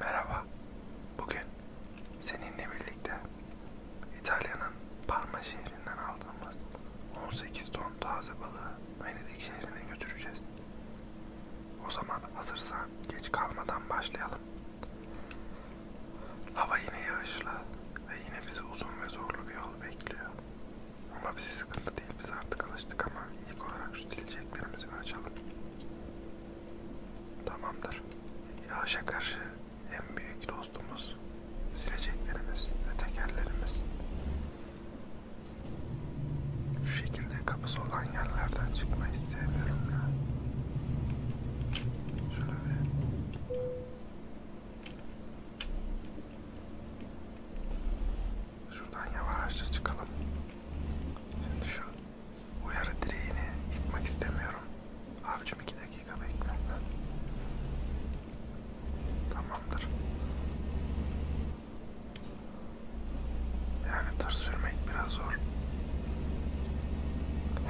Merhaba, bugün seninle birlikte İtalya'nın Parma şehrinden aldığımız 18 ton taze balığı Venedik şehrine götüreceğiz. O zaman hazırsan geç kalmadan başlayalım. Hava yine yağışlı ve yine bizi uzun ve zorlu bir yol bekliyor. Ama bizi sıkıntı değil, biz artık alıştık ama ilk olarak şu dilci çiçeklerimizi açalım. Tamamdır. Yağışa karşı en büyük dostumuz sileceklerimiz ve tekerlerimiz. Şu şekilde kapısı olan yerlerden çıkmayı sevmiyorum ya. Şöyle bir... Şuradan yavaşça çıkalım. Şimdi şu uyarı direğini yıkmak istemiyorum. Abicim iki dakika bekle. Tamamdır. Yani tır sürmek biraz zor.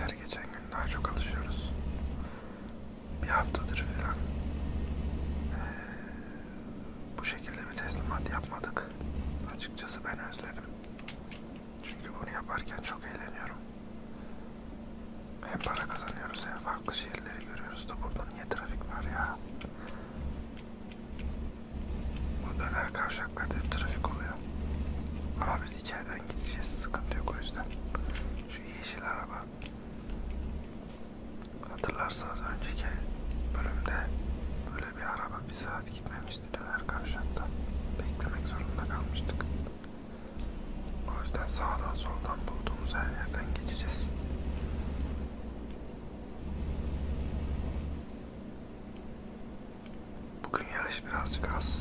Her geçen gün daha çok alışıyoruz. Bir haftadır falan. Ee, bu şekilde bir teslimat yapmadık. Açıkçası ben özledim. Çünkü bunu yaparken çok eğleniyorum. Hem para kazanıyoruz hem farklı şehirleri görüyoruz da burada niye trafik var ya? Bu döner kavşaklarda hep trafik oluyor. Ama biz içeriden gideceğiz sıkıntı yok o yüzden. Şu yeşil araba. Hatırlarsanız önceki bölümde böyle ve bir araba bir saat gitmemişti döner kavşakta. Beklemek zorunda kalmıştık. O yüzden sağdan soldan bulduğumuz her yerden geçeceğiz. Bugün yağış birazcık az.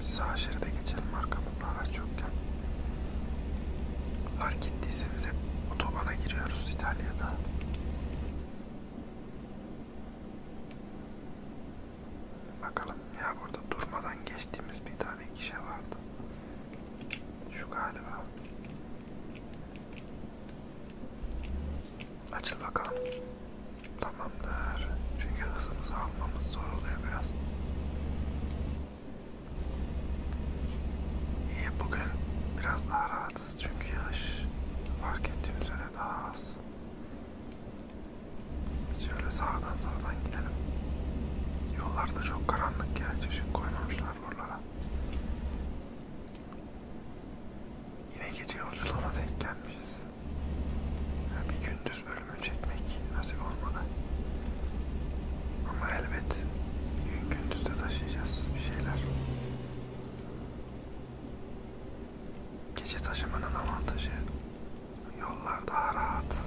Biz sağ şeride geçelim arkamızda araç yokken. Fark ettiyseniz otobana giriyoruz İtalya'da. Bakalım ya burada durmadan geçtiğimiz bir tane kişi vardı. Şu galiba. Açıl bakalım. Tamamdır. Çünkü hızımızı almamız zor oluyor biraz. İyi bugün biraz daha rahatız çünkü yağış fark ettiğim üzere daha az. Biz şöyle sağdan sağdan gidelim. Yollarda çok karanlık ya çeşit koymamışlar buralara. Yine gece yolculuğuna denk gelmişiz. Yani bir gündüz bölümü çekmek nasip olmadı. Ama elbet bir gün gündüzde taşıyacağız bir şeyler. Gece taşımanın avantajı yollar daha rahat.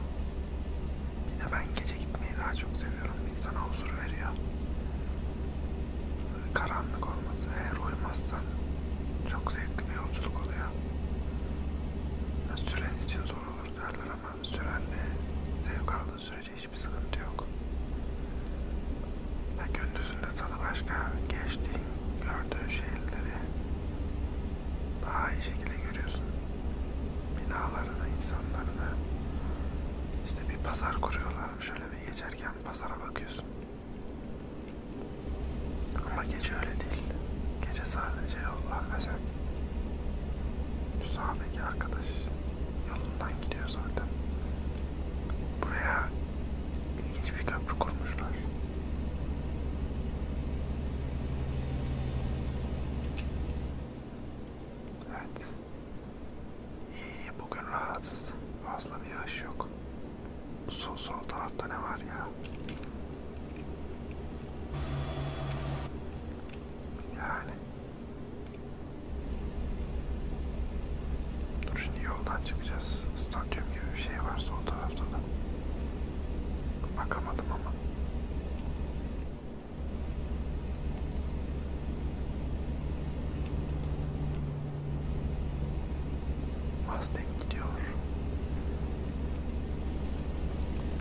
Bir de ben gece gitmeyi daha çok seviyorum. İnsana huzur veriyor. Karanlık olması, eğer uyumazsan çok zevkli bir yolculuk oluyor. Süren için zor olur derler ama süren de zevk aldığı sürece sürece hiçbir sıkıntı yok. Ha, gündüzünde sana başka geçtiğin, gördüğün şehirleri daha iyi şekilde görüyorsun. Binalarını, insanlarını. İşte bir pazar kuruyorlar. Şöyle bir geçerken pazara bakıyorsun. Ama gece öyle değil. Gece sadece yollar kaçak. Şu sağdaki arkadaş yolundan gidiyor zaten. Buraya ilginç bir köprü kurmuşlar. Evet. İyi bugün rahatsız. Fazla bir yağış yok. Bu sol, sol tarafta ne var ya? Yani Dur şimdi yoldan çıkacağız. Stadyum gibi bir şey var sol tarafta da. Bakamadım ama. Mustang gidiyor.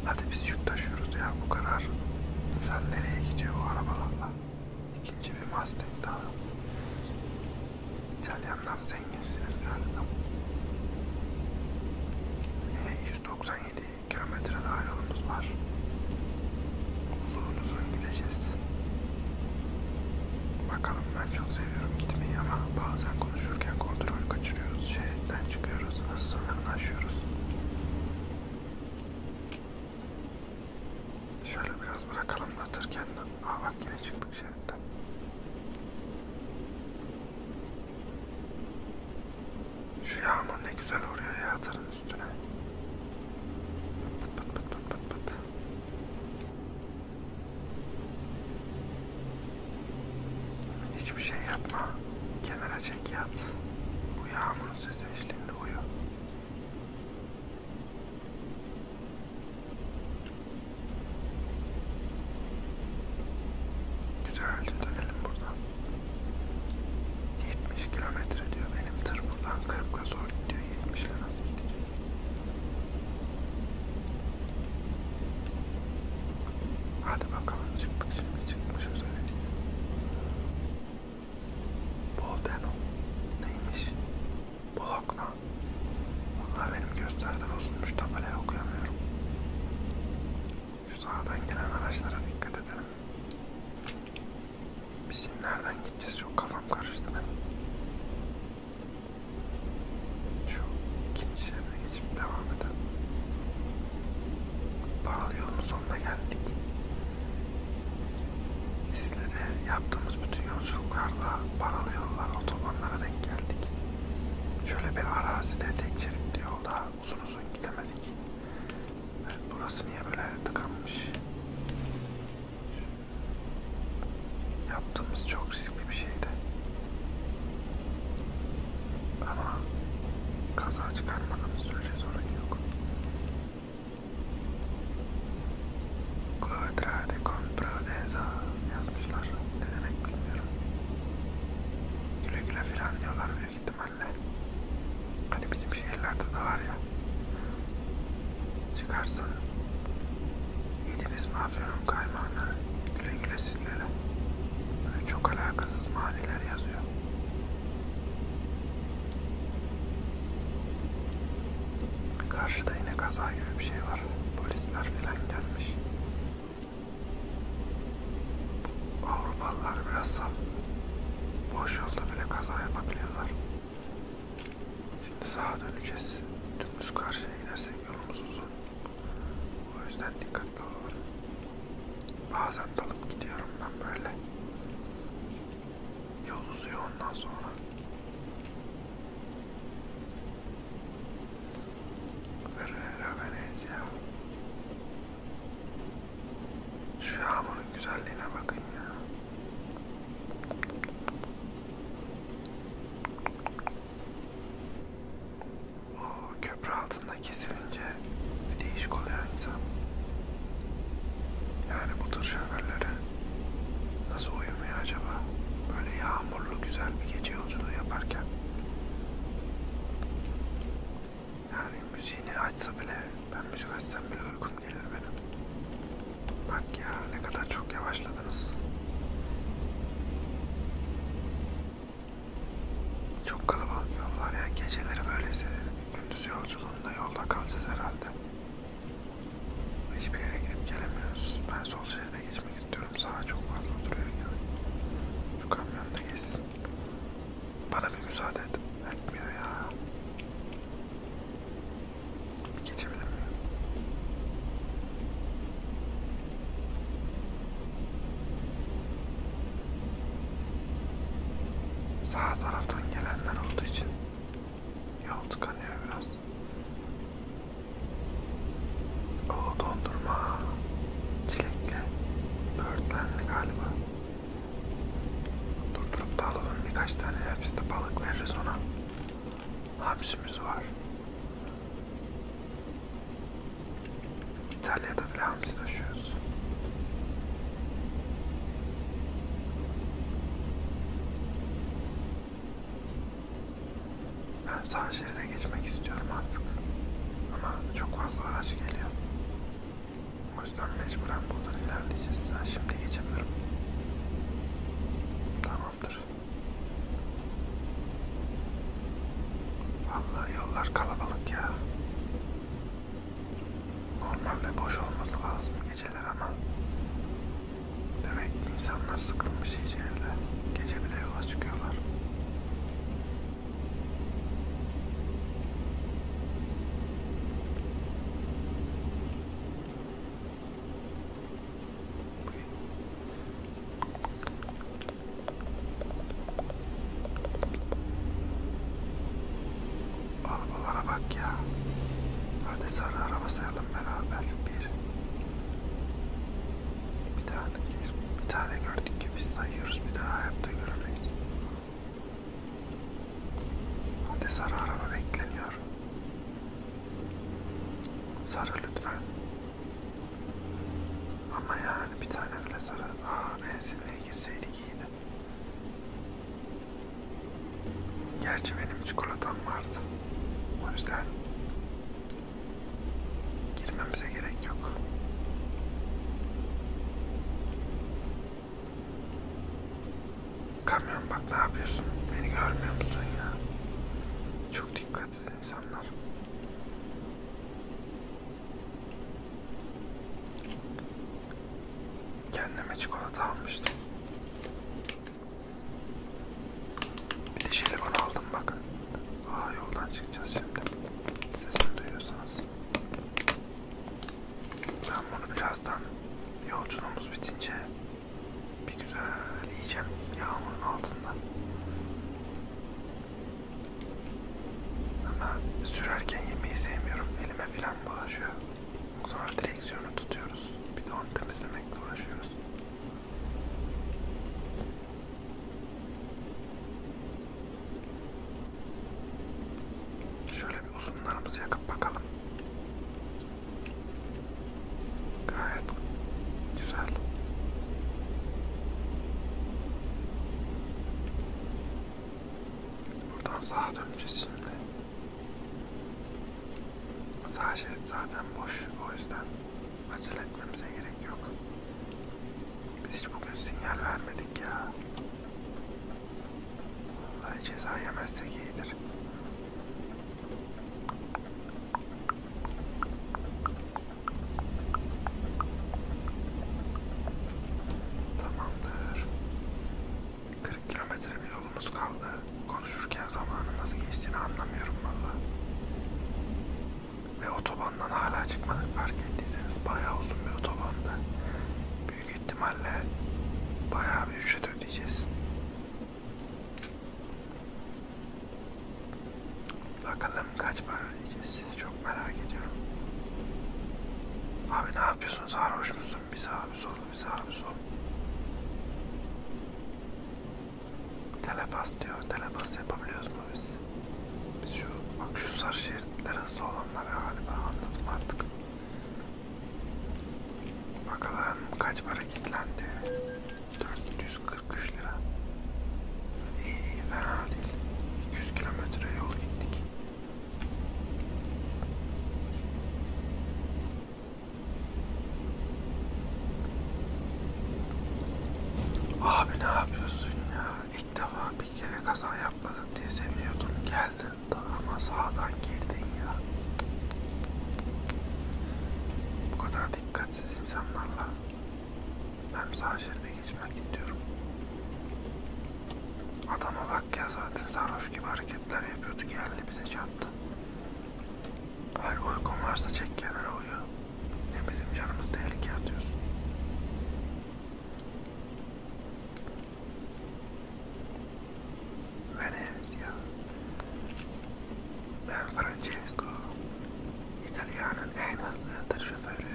Hadi biz yük taşıyoruz ya bu kadar. Sen nereye gidiyor bu arabalarla? İkinci bir Mustang daha. İtalyanlar zenginsiniz galiba. E, 197 kilometre daha yolumuz var. Uzun uzun gideceğiz. Bakalım ben çok seviyorum gitmeyi ama bazen konuşurken kontrol kaçırıyoruz. Şeritten çıkıyoruz. Hız sınırını aşıyoruz. Şöyle biraz bırakalım da tır kendi. Aa bak yine çıktık şeritten. Şu yağmur ne güzel vuruyor ya tırın üstüne. Pıt pıt pıt pıt pıt pıt pıt. Hiçbir şey yapma. Kenara çek yat. Bu yağmurun sesi Seçtin doğuyu. Güzelce dönelim buradan. 70 kilometre diyor benim tır buradan Kırıpka zor gidiyor 70'le nasıl gidiyor? Hadi bakalım çıktık şimdi çıkmışız öyleyse. Bolteno. Neymiş? Bologna. Vallahi benim gösterde bozulmuş tabelayı okuyamıyorum. Şu sağdan gelen araçlara dikkat edelim. Biz şimdi nereden gideceğiz? Çok kafam karıştı benim. Şu ikinci şeride geçip devam edelim. Paralı yolun sonuna geldik. Sizle de yaptığımız bütün yolculuklarla paralı yollar, otobanlara denk geldik. Şöyle bir arazide tek şeritli yolda uzun uzun gidemedik. Evet, burası niye böyle tıkanmış? Yaptığımız çok riskli bir şeydi. Ama kaza çıkarmadığımız sürece sorun yok. Quadra de compradenza yazmışlar. Ne demek bilmiyorum. Güle güle filan diyorlar büyük ihtimalle. Hani bizim şehirlerde de var ya. Çıkarsın. Yediniz mi afyonun kaymağını? Güle güle sizlere. Böyle çok alakasız maniler yazıyor. Karşıda yine kaza gibi bir şey var. Polisler filan gelmiş. Avrupalılar biraz saf. Boş yolda bile kaza yapabiliyorlar. Şimdi sağa döneceğiz. Dümdüz karşıya gidersek yolumuz uzun. O yüzden dikkatli olalım. Bazen dalıp gidiyorum ben böyle. Yol uzuyor ondan sonra. Ferrera Venezia. Şu yağmurun güzelliğine bakın ya. O köprü altı altında kesilince bir değişik oluyor insan. Yani bu tır şoförleri nasıl uyumuyor acaba? Böyle yağmurlu güzel bir gece yolculuğu yaparken. Yani müziğini açsa bile, ben müzik açsam bile uykum gelir benim. Bak ya ne kadar çok yavaşladınız. Çok kalabalık yol var ya. Geceleri böyleyse gündüz yolculuğunda yolda kalacağız herhalde. Hiçbir yere gidip gelemiyoruz. Ben sol şeride geçmek istiyorum. Sağa çok fazla duruyor yani. Şu kamyon da geçsin. Bana bir müsaade et. Etmiyor ya. Geçebilir miyim? Sağ taraftan gelenler olduğu için yol tıkanıyor biraz. O dondurma çilekli böğürtlenli galiba. Durdurup da alalım birkaç tane nefiste balık veririz ona. Hamsimiz var. İtalya'da bile hamsi taşıyoruz. Ben sağ şeride geçmek istiyorum artık. Ama çok fazla araç geliyor. O yüzden mecburen buradan ilerleyeceğiz. Ben şimdi geçemiyorum. Tamamdır. Vallahi yollar kalabalık ya. Normalde boş olması lazım geceler ama demek ki insanlar sıkılmış iyice evde. Gece bile yola çıkıyorlar. Arabalara bak ya. Hadi sarı araba sayalım beraber. Bir. Bir tane, bir, bir tane gördük ki biz sayıyoruz. Bir daha hayatta göremeyiz. Hadi sarı araba bekleniyor. Sarı lütfen. Ama yani bir tane bile sarı. Aa benzin Hastaneye girseydik iyiydi. Gerçi benim çikolatam vardı. O yüzden girmemize gerek yok. Kamyon bak ne yapıyorsun? Beni görmüyor musun ya? Çok dikkatsiz insanlar. Kendime çikolata almıştım. Bir de jelibon aldım bakın. Aa yoldan çıkacağız şimdi. Sesini duyuyorsanız. Ben bunu birazdan yolculuğumuz bitince bir güzel yiyeceğim yağmurun altında. Ama sürerken yemeği sevmiyorum. Elime filan bulaşıyor. Sonra direksiyonu tutuyoruz. Bir de onu temizlemekle uğraşıyoruz. Şöyle bir uzunlarımızı yakıp bakalım. Gayet güzel. Biz buradan sağa döneceğiz şimdi. Sağ şerit zaten boş. O yüzden acele etmemize gerek yok. Biz hiç bugün sinyal vermedik ya. Vallahi ceza yemezsek iyidir. Tamamdır. 40 kilometre bir yolumuz kaldı. Konuşurken zamanın nasıl geçtiğini anlamıyorum valla. Ve otobandan hala çıkmadık fark ettiyseniz bayağı uzun bir otobanda. Büyük ihtimalle bayağı bir ücret ödeyeceğiz. Bakalım Bakalım kaç para ödeyeceğiz. Çok merak ediyorum. Abi ne yapıyorsun? Sarhoş musun? Bir sağa bir sola bir sağa bir sola. Telepas diyor. Telepas yapabiliyoruz mu biz? Biz şu bak şu sarı şeritler hızlı olanlar galiba anladım artık. Bakalım kaç para kilitlendi? 443 lira. İyi, fena değil. 200 kilometre yol gittik. Abi ne yapıyorsun ya? İlk defa bir kere kaza yapmadım diye seviniyordum. Geldin ama sağdan girdin ya. Bu kadar dikkatsiz insanlarla hem sağ şeride geçmek istiyorum. Adama bak ya zaten sarhoş gibi hareketler yapıyordu. Geldi bize çarptı. Hayır uykun varsa çek kenara uyu. Ne bizim canımız tehlike atıyorsun. Venezia. Ben Francesco. İtalya'nın en hızlı tır şoförü.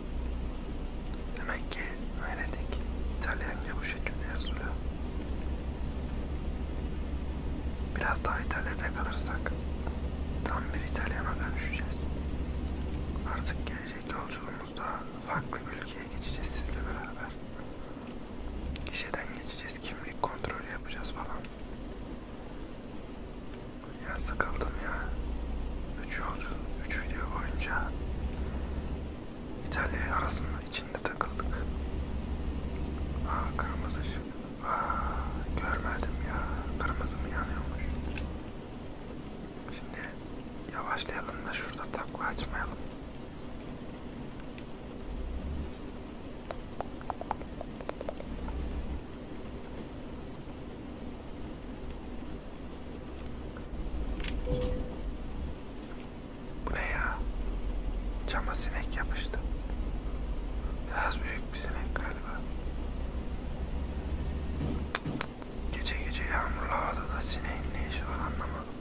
Demek ki Venedik İtalyanca bu şekilde yazılıyor. Biraz daha İtalya'da kalırsak tam bir İtalyana dönüşeceğiz. Artık gelecek yolculuğumuzda farklı bir ülkeye geçeceğiz sizle beraber. Gişeden geçeceğiz, kimlik kontrolü yapacağız falan. Ya sıkıldım ya. 3 yolcu, 3 video boyunca İtalya arasında içinde takıldık. Aa kırmızı ışık. Aa görmedim ya. Kırmızı mı yanıyormuş? Şimdi yavaşlayalım da şurada takla açmayalım. Bu ne ya? Cama sinek yapıştı. Biraz büyük bir sinek galiba. Gece gece yağmurlu havada da sineğin ne işi var anlamadım.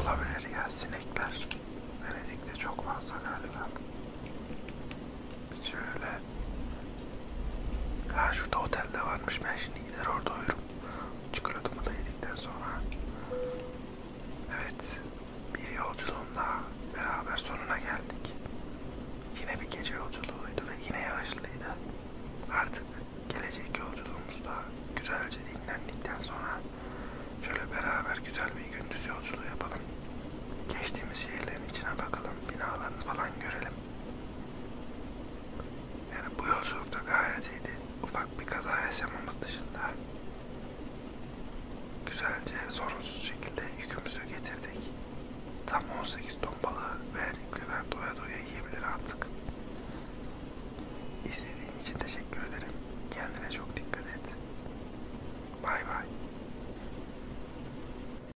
Olabilir ya sinekler. Venedik'te çok fazla galiba. Şöyle. Ha şurada otelde varmış. Ben şimdi gider orada uyurum. Çikolatamı da yedikten sonra. Evet. Bir yolculuğumla beraber sonuna geldik. Yine bir gece yolculuğuydu ve yine yağışlıydı. Artık gelecek yolculuğumuzda güzelce dinlendikten sonra şöyle beraber güzel bir gündüz yolculuğu yapalım. Geçtiğimiz şehirlerin içine bakalım, binalarını falan görelim. Yani bu yolculukta gayet iyiydi. Ufak bir kaza yaşamamız dışında. Güzelce sorunsuz şekilde yükümüzü getirdik. Tam 18 ton balığı verdikliler doya doya yiyebilir artık. İzlediğin için teşekkür ederim. Kendine çok dikkat et. Bay bay.